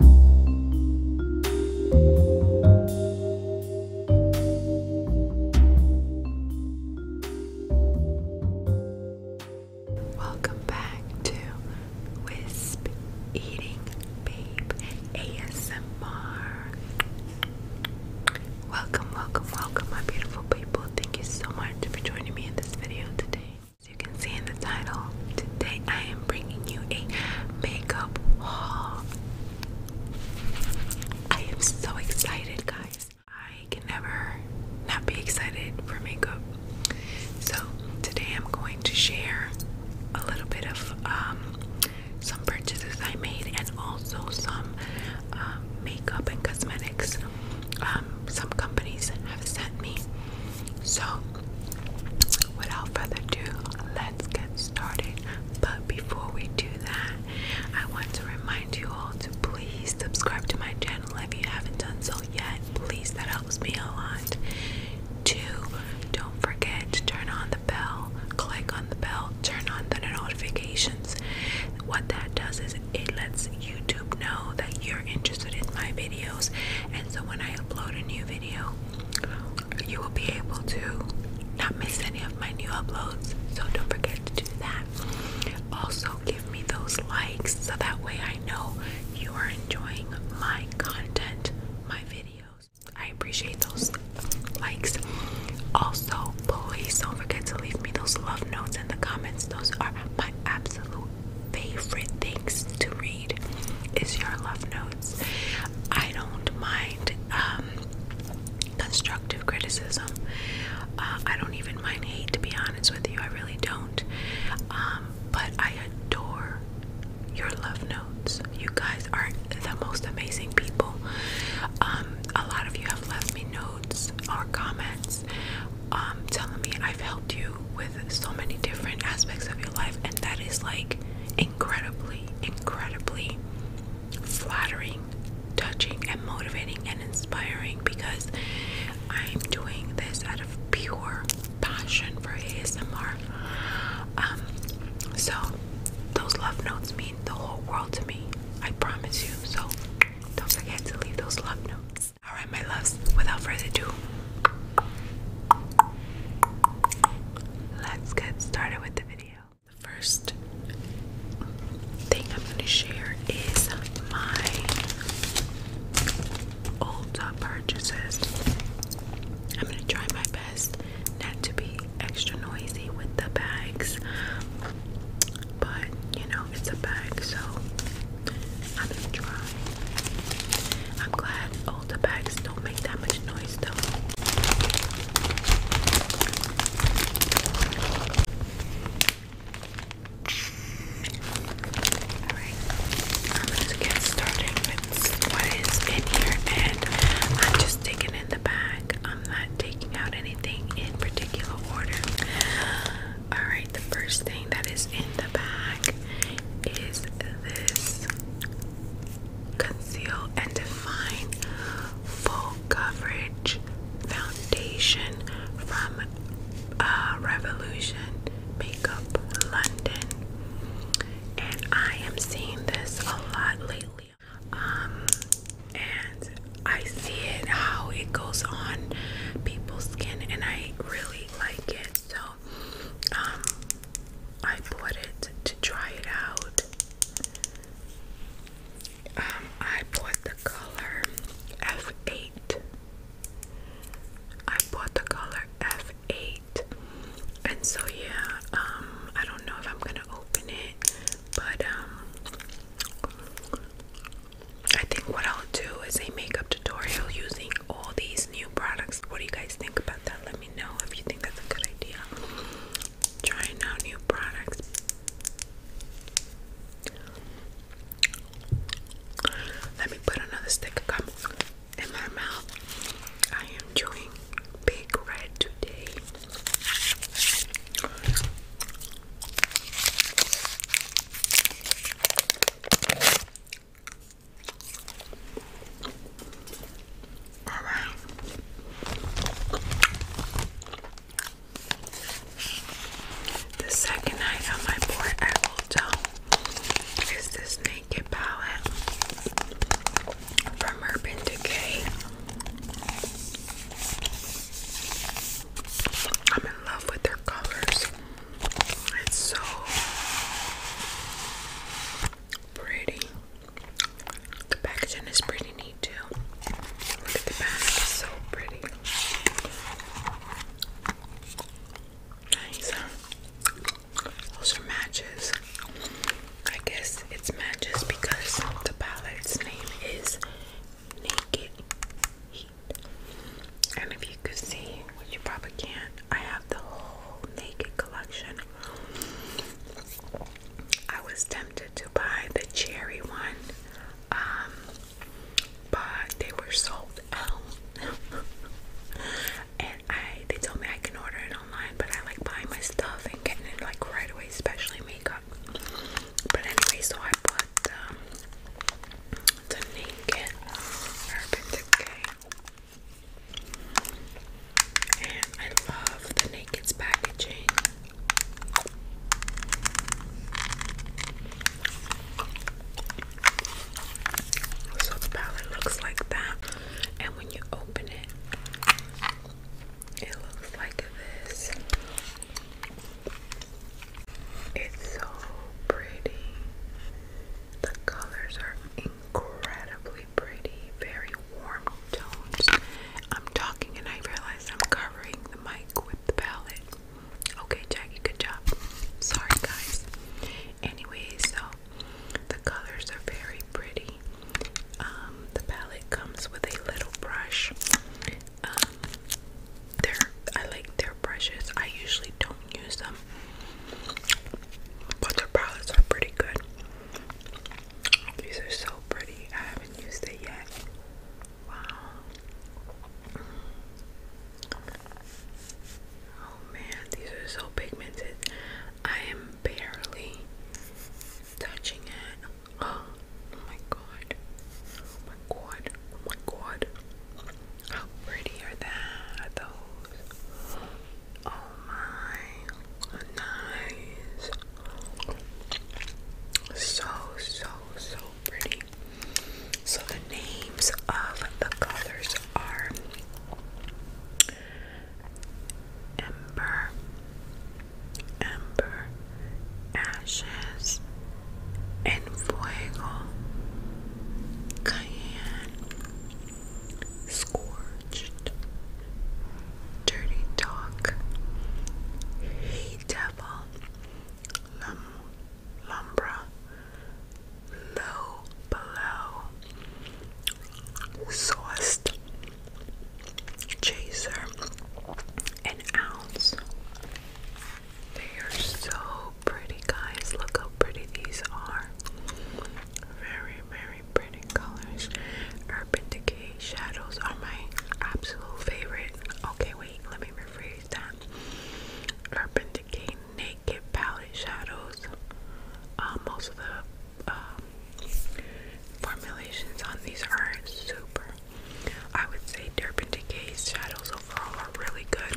Welcome back to Wisp Eating Babe ASMR. Welcome, welcome, welcome, my beautiful people. Thank you so much for joining me in this video today. As you can see in the title, today I am bringing you a makeup haul. I am so excited, guys. I can never not be excited for makeup. So, today I'm going to share a little bit of um, some purchases I made and also some um, makeup and cosmetics. Um, some companies have sent me. So, without further ado, let's get started. But before we do that, I want to remind you all to please subscribe to my channel if you haven't done so yet. Please, that helps me a lot. Two, don't forget to turn on the bell, click on the bell, turn on the notifications. What that does is it lets YouTube know that you're interested in my videos, and so when I upload a new video, you will be able to not miss any of my new uploads. So don't forget to do that. Also, give me those likes so that way I know you are enjoying my content, my videos. I appreciate those likes. Also, please don't forget to leave me those love notes in the comments. Those are my absolute favorite things to read is your love notes. I don't mind um, constructive criticism. Uh, I don't even mind hate, to be honest with you. I really don't. Um, but I adore your love notes. You guys are the most amazing people. Um, a lot of you have left me notes or comments telling me I've helped you with so many different aspects of your life, and that is like incredibly, incredibly flattering, touching, and motivating and inspiring because I'm doing this out of pure passion for ASMR. Um, so those love notes mean the whole world to me. I promise you. So don't forget to leave those love notes. Alright, my loves, without further ado, Let's get started with the video. The first thing I'm going to share is my old purchases. I'm going to try my best not to be extra noisy with the bags, but you know, it's a bag, so I'm going to try. I'm glad the bags don't make that much noise though. Alright, I'm gonna get started with what is in here and I'm just taking in the bag. I'm not taking out anything in particular order. Alright, the first thing that is in the bag is this Conceal and Define Full Coverage Foundation from uh, Revolution Makeup London. And I am seeing this a lot lately. Um, and I see it how it goes on people's skin, and I really like it. So um, I bought it to try it out. Um, I bought the color F8. I bought the color F8. And so, yeah, um, I don't know if I'm gonna open it, but I think what I'll do is a makeup tutorial using all these new products. What do you guys think about that? Let me know if you think that's a good idea. Trying out new products. Let me put another stick of gum in my mouth. I am chewing big red today. All right. The second night on my board, I will is this naked palette from Urban Decay. I'm in love with their colors. It's so pretty. The packaging is pretty neat too. Look at the back, so pretty. Nice. Those are matches. I guess it's matches because the palette's name is Naked Heat. And if you could see, which you probably can't, I have the whole naked collection. I was tempted to buy the cherry one, um, but they were sold out. and I they told me I can order it online, but I like buying my stuff and getting it like right away, especially makeup. But anyway, so I bought um, the naked Urban Decay and I love the Naked's packaging. So the palette looks like that. And when you open it, it looks like this. It's so pretty. The colors are incredibly pretty, very warm tones. I'm talking and I realize I'm covering the mic with the palette. Okay, Jackie, good job. Sorry, guys. Anyway, so the colors are very pretty. Um, the palette comes with a little brush. Um, they I like their brushes. I usually don't use them them. palettes are pretty good. These are so pretty. I haven't used it yet. Wow. Oh man, these are so pigmented. I am barely touching it. Oh my god. Oh my god. Oh my god. How pretty are Those. Oh my. Nice. So, so, so pretty. So, the names of the colors are Ember, Ember, Ashes, and Fuego, Cayenne scorched, dirty talk, hey devil, lum, lumbra, low below, sauced, chaser, an ounce. They are so pretty, guys. Look how pretty these are. Very, very pretty colors. Urban Decay shadows are my absolute favorite. Okay, wait, let me rephrase that. Urban Decay Naked Palette Shadows. Um, most of the um, formulations on these are super. I would say Urban Decay shadows overall are really good.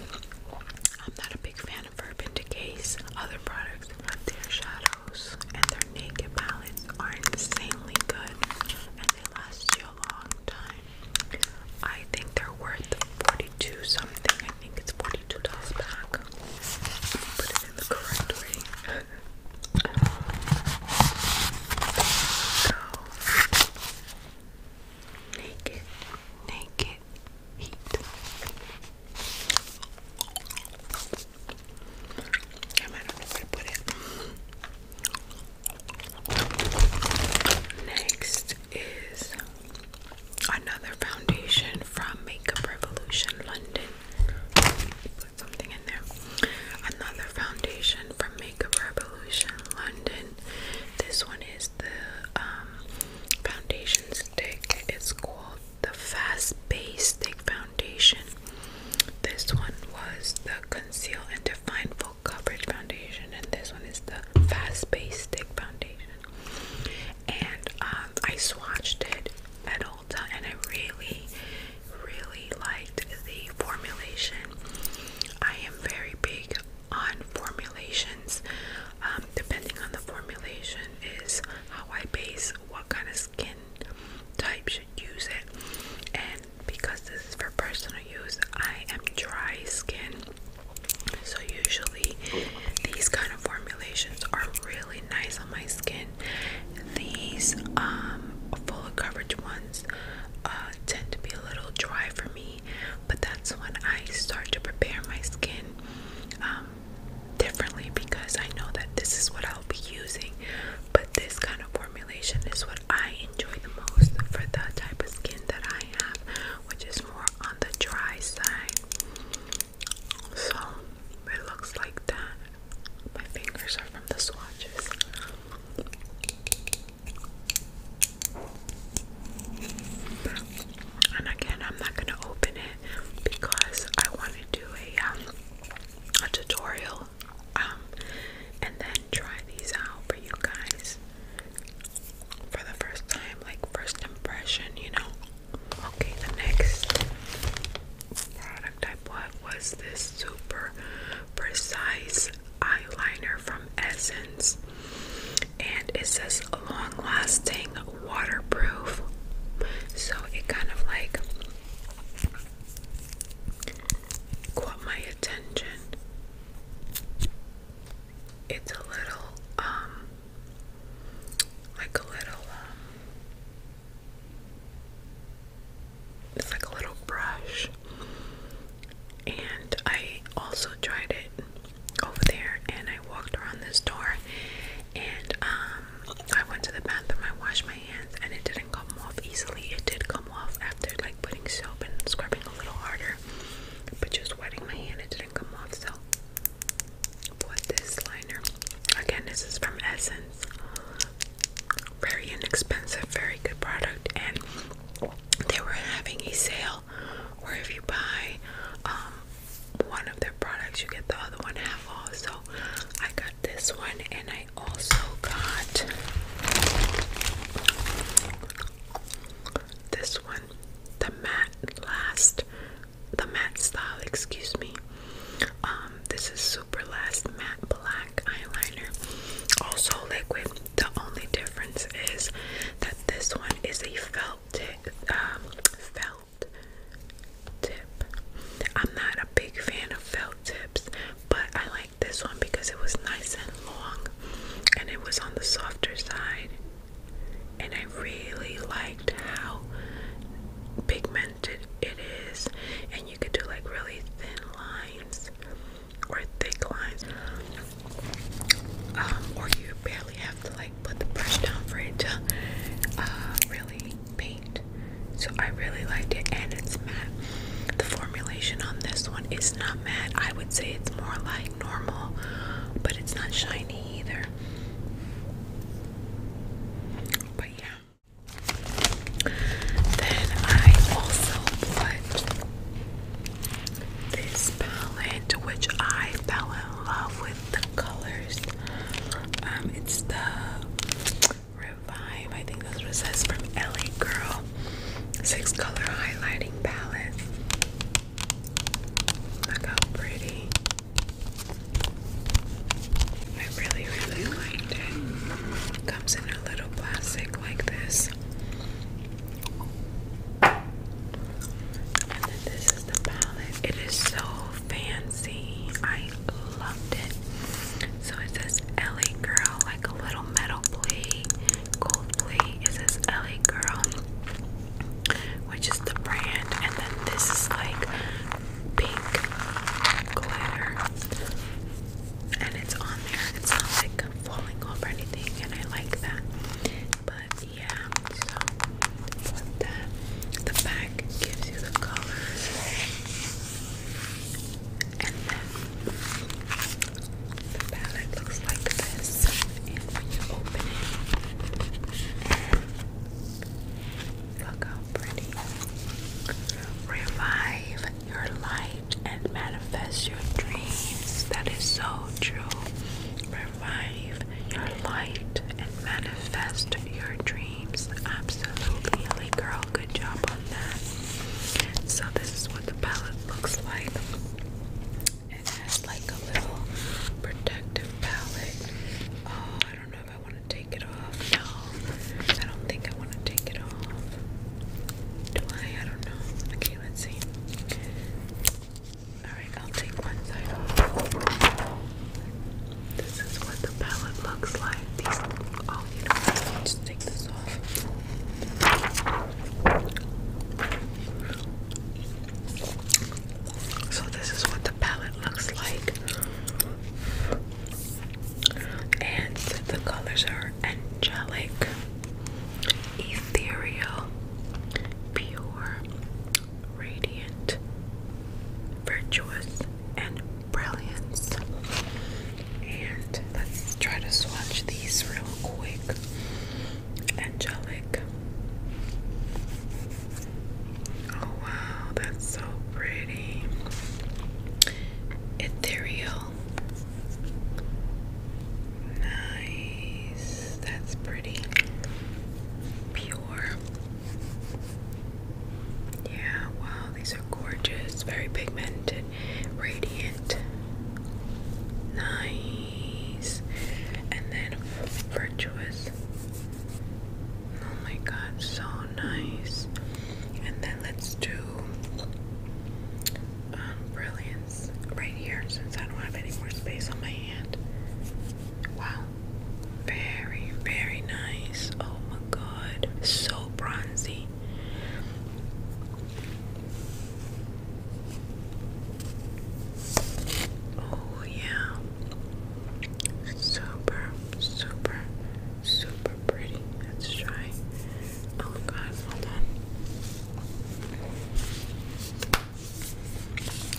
I'm not a big fan and case. other products with their shadows and their naked palettes are insanely good and they last you a long time. I think they're worth 42 something. I think it's $42 back. Put it in the correct way. Go. Naked, naked, Next is another foundation from Makeup Revolution London. Put something in there. Another foundation from Makeup Revolution London. This one is the um, foundation stick. It's called the Fast Base Stick Foundation. This one was the Conceal and Define Full Coverage Foundation, and this one is the Fast Base Stick Foundation. And um, I swatched it at Ulta, and I really, really liked the formulation. I am very big on formulations. Um, depending on the formulation, is how I base what kind of skin type should use it. And because this is for personal use, I am dry skin. So usually these kind of formulations are really nice on my skin. These um, full coverage ones uh, tend to be a little dry for me but that's when I start to prepare my skin um, differently because I know that this is what I'll be using. But this kind of formulation is what I enjoy the most for the type of skin that I have, which is more on the dry side. So it looks like that. My fingers are from the swatches. And again, I'm not gonna open it because I want to do a um, a tutorial, um, and then try these out for you guys for the first time, like first impression, you know. Okay, the next product I bought was this super precise eyeliner from Essence and it says long lasting waterproof so it kind of like caught my attention it's a little um, like a little um, it's like a little brush and I also tried it over there and I walked around this door, and um I went to the bathroom, I washed my hands and it didn't come off easily. It did come off after like putting soap and scrubbing a little harder. But just wetting my hand it didn't come off so put this liner. Again, this is from Essence. Very inexpensive, very good product and they were having a sale sell or if you buy um, one of their products you get the other one half off so I got this one and I also got this one the matte last the matte style excuse me um this is super last matte black eyeliner also liquid the only difference is that this one is a felt tip, um, felt tip. I'm not a big fan of felt tips, but I like this one because it was nice and long and it was on the softer side. And I really liked how pigmented it is, and you could do like really thin lines or thick lines um, or you barely have to like put the brush down for it to uh, really paint so I really liked it and it's matte the formulation on this one is not matte I would say it's more like normal but it's not shiny either but yeah then I also put this palette, which I fell in love with the colors. Um, it's the Revive, I think that's what says, from LA Girl. Six color highlighting palette. Look how pretty. I really, really liked it. Comes in a little plastic like this. And then this is the palette. It is so fancy. I loved it. So it says LA Girl, like a little metal play, gold play. It says LA Girl, which is the brand. And then this is like pink glitter. And it's on there. It's not like falling off or anything. And I like that. But yeah, so put that. The back gives you the colors, and then the palette looks like this. And when you open it, look how pretty. Revive your light and manifest your dreams. That is so true. Revive your light and manifest your dreams. Absolutely, girl. Good job on that. So this is what the palette looks like. It has like a little protective palette. Oh, I don't know if I want to take it off. No, I don't think I want to take it off. Do I? don't know. Okay, let's see. Alright, I'll take one side This is what the palette looks like. These, oh, you just take this off. So, this is what the palette looks like. And the colors are angelic, ethereal, pure, radiant, virtuous, and brilliance. And let's try to swatch these real quick. Angelic. Oh wow, that's so pretty. Ethereal. Nice. That's pretty. Pure. Yeah, wow, these are gorgeous. Very pigmented, radiant. Nice. And then virtuous. Oh my god, so nice. And then let's do um, brilliant right here since I don't have any more space on my hand. Wow. Very, very nice. Oh my god. So bronzy. Oh, yeah. Super, super, super pretty. Let's try Oh god, well done.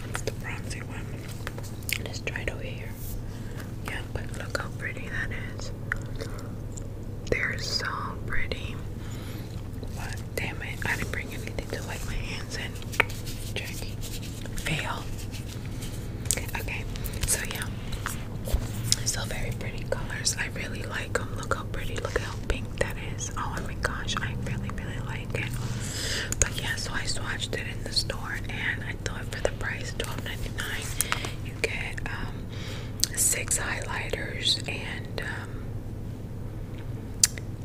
That's the bronzy one. let try it over here. Yeah, but look how pretty that is. They're so pretty. damn it, I didn't bring anything to wipe my hands in. Fail. Okay, so yeah. So very pretty colors. I really like them. Look how pretty. Look how pink that is. Oh my gosh, I really, really like it. But yeah, so I swatched it in the store and I thought for the price twelve ninety nine you get um, six highlighters and um,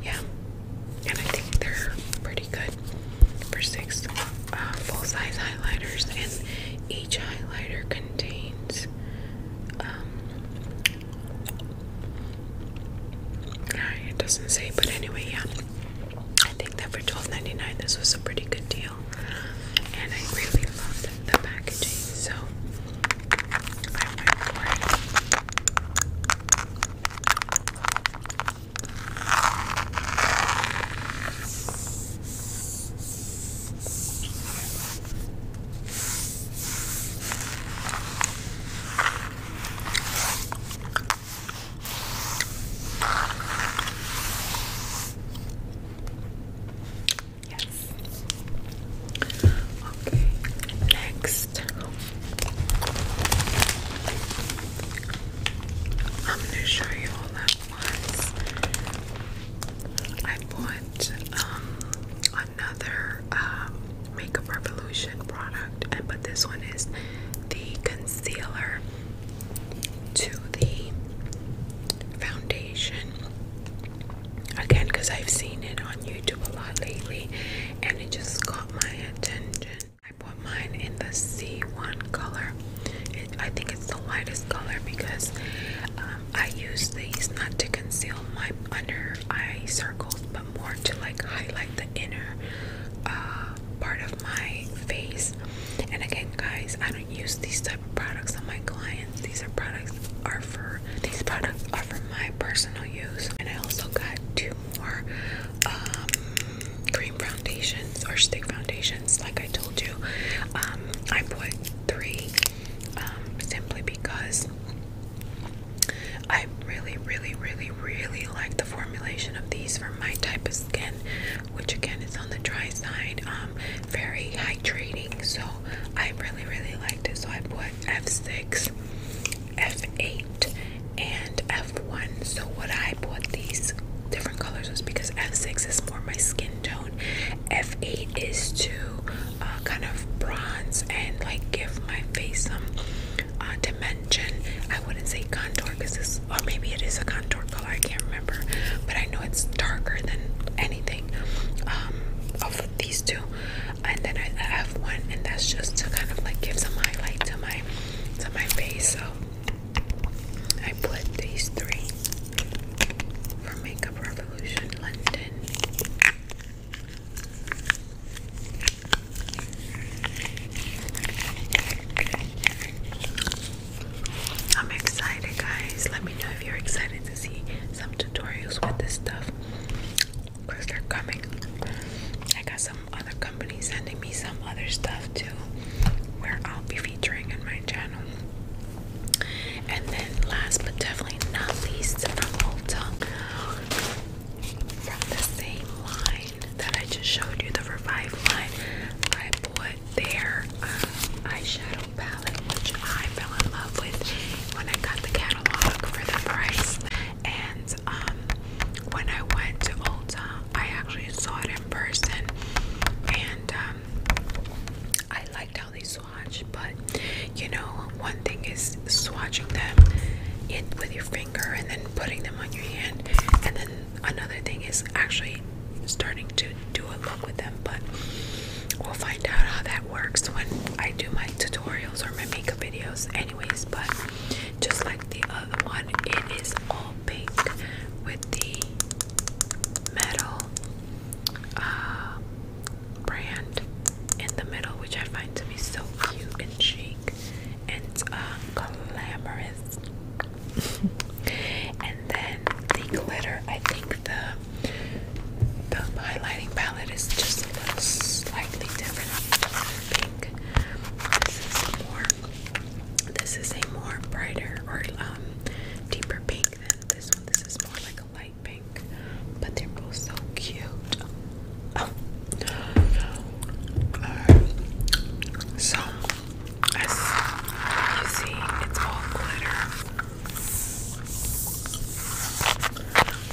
yeah, and I think they're pretty good for six uh, full-size highlighters and each highlighter contains um, it doesn't say, but anyway, yeah. I think that for twelve ninety nine, this was a pretty good deal. And I really loved the packaging, so I went for it. Okay, next I'm gonna show you all that once. I bought um, another um, Makeup Revolution product, and but this one is the concealer to the foundation. Again, because I've seen it on YouTube a lot lately, and it just caught my attention. I bought mine in the C1 color. I think it's the lightest color because uh, I use these not to conceal my under eye circles, but more to like highlight the inner uh, part of my face. And again, guys, I don't use these type of products on my clients. These are products are for these products are for my personal use. And I also got two more um, cream foundations or stick foundations, like I told you. Um, I put three um, simply because I really, really, really, really like the formulation of these for my type of skin, which again is on the dry side, um, very hydrating. So I really, really liked it. So I put F6, F8, and F1. So what I bought these different colors was because F6 is more my skin tone F8 is to uh, kind of bronze and like give my face some uh, dimension. I wouldn't say contour because this, or maybe it is a contour color, I can't remember, but I know it's darker than anything um, of these two. And then I, I have one, and that's just to kind of like give some highlight to my to my face. So I put these three from Makeup Revolution London. I'm excited, guys. Let me know if you're excited to see some tutorials with this stuff because they're coming. I got some other companies sending me some other stuff too, where I'll be featuring on my channel. And then last but definitely not least from Ulta, from the same line that I just showed you, the Revive line, I put their uh, eyeshadow palette, which I fell in love with when I got the catalog for the price. And um, when I went to Ulta, I actually saw it in person, and um, I liked how they swatch, but you know, one thing is swatching them in with your finger and then putting them on your hand, and then another thing is actually starting to do a look with them. But we'll find out how that works when I do my tutorials or my makeup videos, anyways. But just like the other one, it is all pink with the metal. Uh, brand in the middle, which I find to be so cute and chic and it's uh, glamorous. and then the glitter, I think the the highlighting palette is just a slightly different. Pink. This is more. This is a more brighter or um deeper pink than this one. This is more like light pink, but they're both so cute. Oh. so, you see, it's all glitter.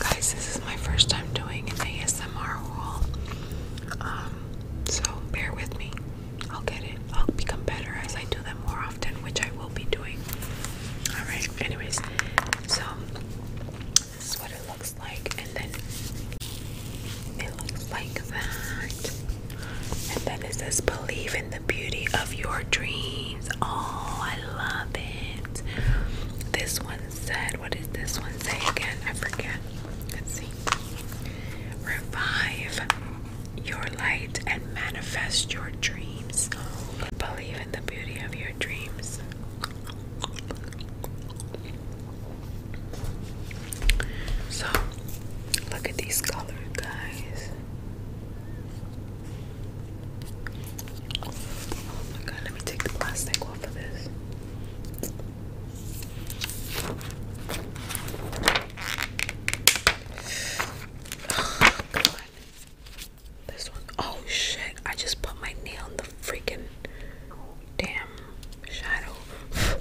Guys, this is my first time doing an ASMR haul. Um, so bear with me. I'll get it. I'll become better as I do them more which I will be doing. Alright, anyways, so this is what it looks like, and then it looks like that. And then it says, Believe in the beauty of your dreams. Oh, I love it. This one said, What did this one say again? I forget. Let's see. Revive your light and manifest your dreams dreams. Believe in the beauty of your dreams. So, look at these colors, guys. Oh my god, let me take the plastic off of this. Oh god. This one. Oh shit, I just put my nail in the freaking damn shadow.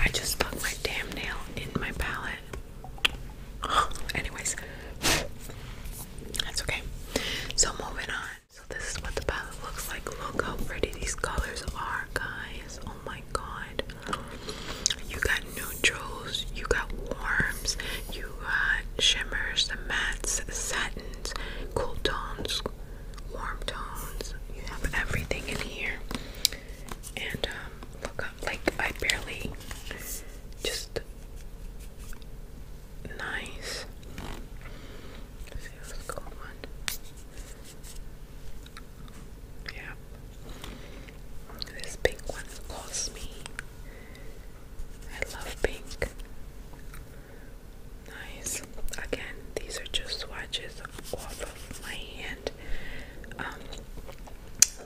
I just put my damn nail in my palette. Anyways, that's okay. So, moving on. So, this is what the palette looks like. Look how pretty these colors are, guys. Oh my my god. You got neutrals, you got warms, you got shimmers, the mattes, satins, cool tones, warm tones. You have everything in here. And um, look up like I barely just nice. see what's going on. Yeah. This pink one cost me. I love pink. Nice. Again, these are just swatches off of my hand. Um,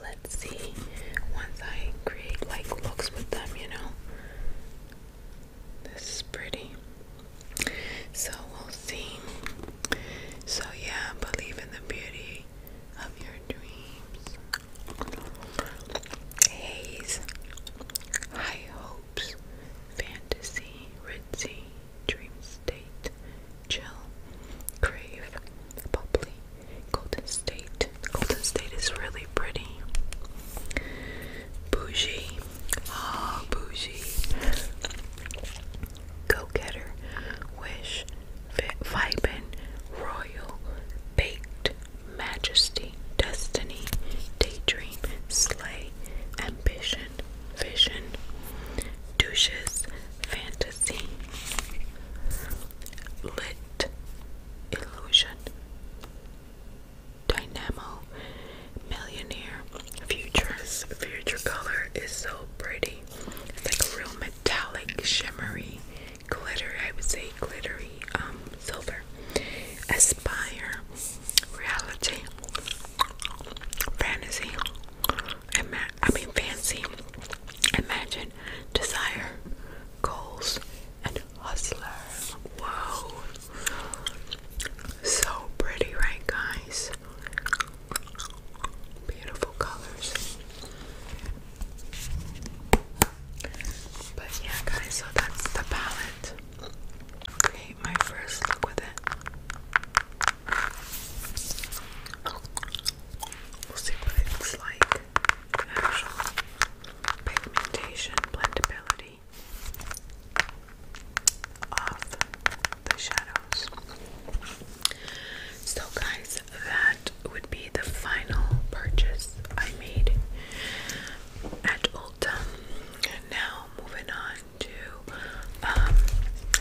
let's see. Once I create like looks with them, you know. This is pretty. So we'll see. So yeah, believe in the beauty of your dreams. Haze, high hopes, fantasy, ritzy, dream state, chill, crave, bubbly, golden state. Golden state is really pretty. Bougie, Ah, bougie go-getter, wish, vibrant, royal, baked, majesty, destiny, daydream, slay, ambition, vision, douches, fantasy, lit, illusion, dynamo, millionaire, futures, future color is so pretty. It's like a real metallic, shimmery, glitter, I would say glittery, um, silver. Aspire, reality, fantasy, I mean fancy, imagine, desire, goals, and hustler. Whoa. So pretty, right guys? Beautiful colors. But yeah, guys, so that's the palette. Okay, my first look with it. We'll see what it's like. Actual pigmentation, blendability of the shadows. So, guys, that would be the final purchase I made at Ulta. Now, moving on to um,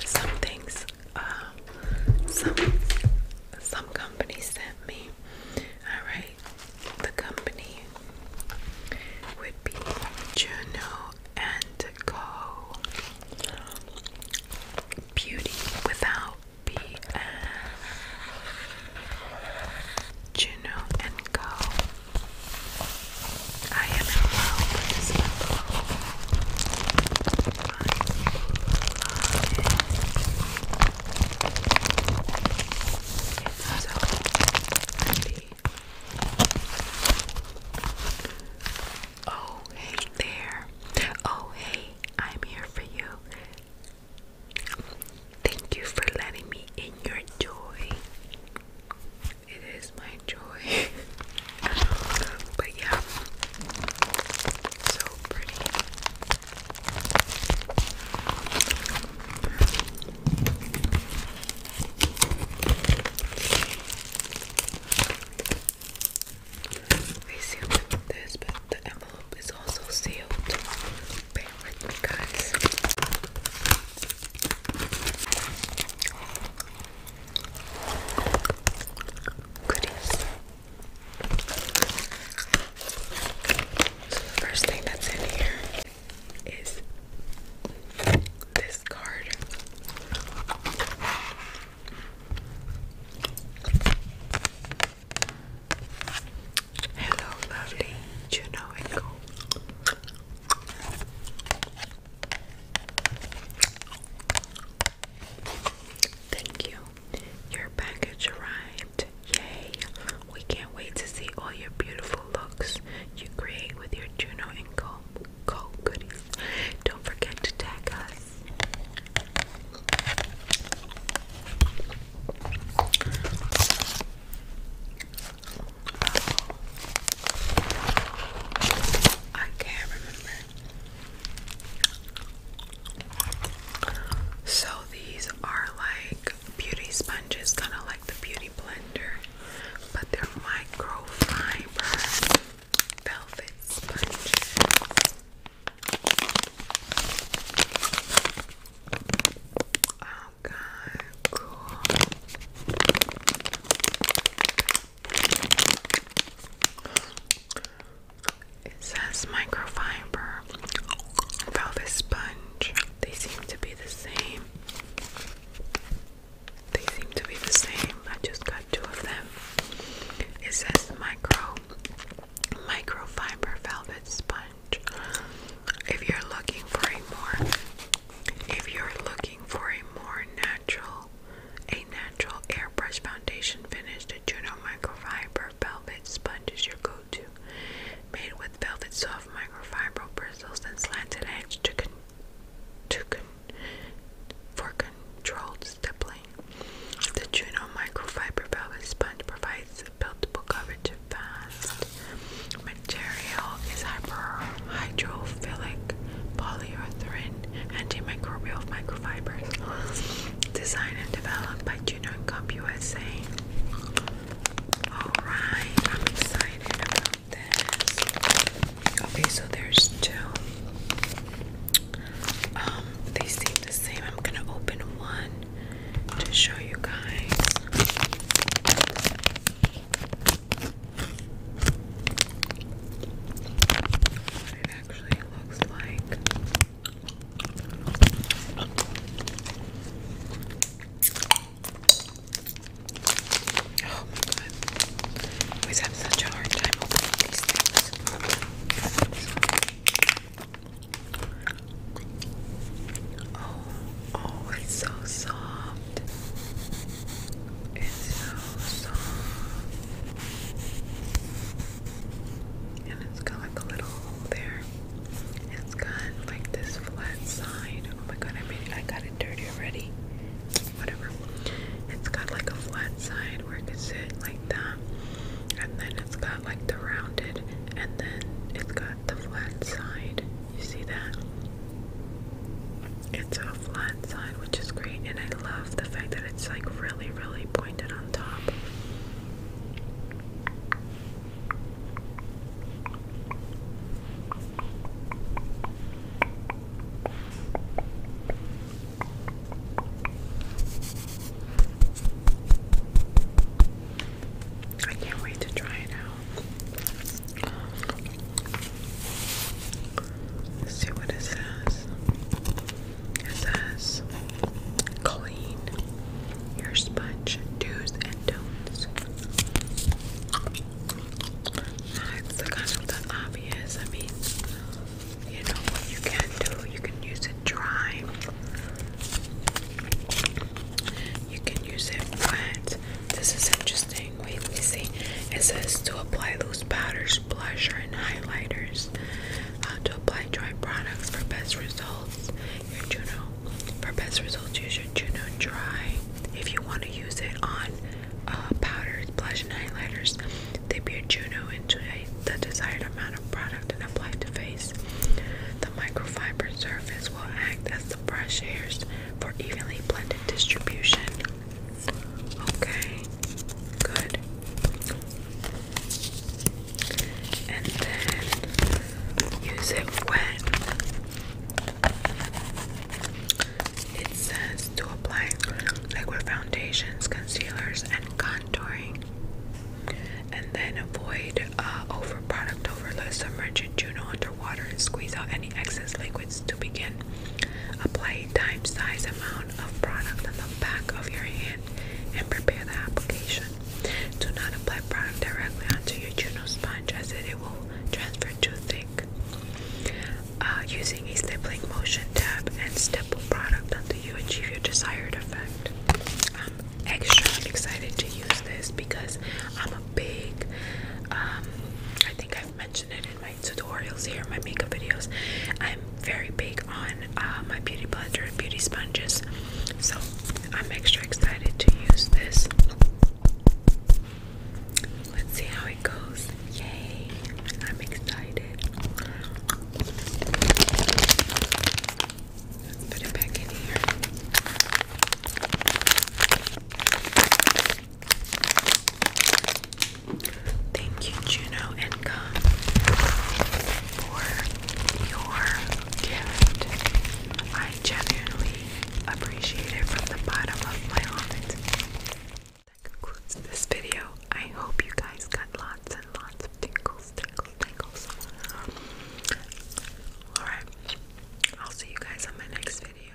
some things. Uh, some some company sent me. All right, the company would be Juno and Co. Beauty Without BF Juno and Co. I am in love It's so pretty. Oh, hey there. Oh, hey, I'm here for you. Thank you for letting me in your joy. It is my joy. but yeah, so pretty. We sealed this, but the envelope is also sealed. Bear Goodies. So the first thing that's in here is this card. Hello, lovely. You know Thank you. Your package arrived. Yay! We can't wait to see all your beautiful looks you create with your Juno and co Don't forget to tag us. I can't remember. So these are like beauty sponges, kind of like the beauty blender, but they're microfiber velvet sponges. Oh god, It says microfiber, velvet sponge. They seem to be the same. They seem to be the same. I just got two of them. It says micro microfiber velvet sponge. If you're looking for a more if you're looking for a more natural a natural airbrush foundation finish, the Juno microfiber velvet sponge is your go-to. Made with velvet soft microfiber bristles and slanted edge to con to con for controlled stippling. The Juno microfiber velvet sponge provides buildable coverage of fast material is hyper hydrophilic polyurethane antimicrobial microfibers. Designed and developed by Juno and Comp USA. Alright, I'm excited about this. Okay, so there's two. Um, they seem the same. I'm gonna open one to show you guys. it actually looks like. Oh my god. Always have such a hard time opening these things. Oh, oh, it's so soft. It's so soft. And it's got like a little hole there. It's got like this flat side. Oh my god, I made it, I got it dirty already whatever. It's got like a flat side where you could sit like that, and then it's got like the rounded, and then it's got the flat side. You see that? It's a flat side, which is great, and I love the fact that it's like really, really pointed on top. I can't wait to try it out. see what it says. It says clean your sponge do's and don'ts. Now, the kind obvious. I mean, you know what you can do, you can use it dry. You can use it wet. This is interesting. Wait, let me see. It says to apply loose powders, blushers, and highlighters. Uh, to apply dry products for best results. Your Juno. For best results, use your Juno dry. If you want to use it on uh, powders, blush, and highlighters. They bear Juno into the desired amount of product and apply to face. The microfiber surface will act as the brush hairs for evenly blended distribution. Okay, good. And then use it wet. It says to apply liquid foundations, concealers, and contouring. And then avoid uh, over product overload. Submerge your Juno underwater and squeeze out any excess liquids to begin. Apply a dime size amount of product on the back of your hand and prepare the application. Do not apply product directly onto your Juno sponge as it will transfer too thick. Uh, using a stippling motion tab and stipple product until you achieve your desired effect. I'm extra excited to use this because I'm a big, um, I think I've mentioned it in my tutorials here, my makeup videos. I'm very big on uh, my beauty blender and beauty sponges, so I'm extra excited to use this. Let's see how it goes. Yay! I'm excited. put it back in here. Thank you, Juno and Gum, for your gift. I genuinely appreciate it from the bottom of my heart. That concludes this video. I hope you guys got lots and lots of tingles, tingles, tingles. Alright, I'll see you guys on my next video.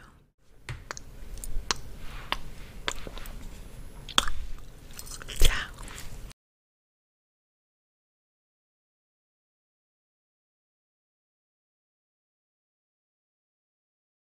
Ciao!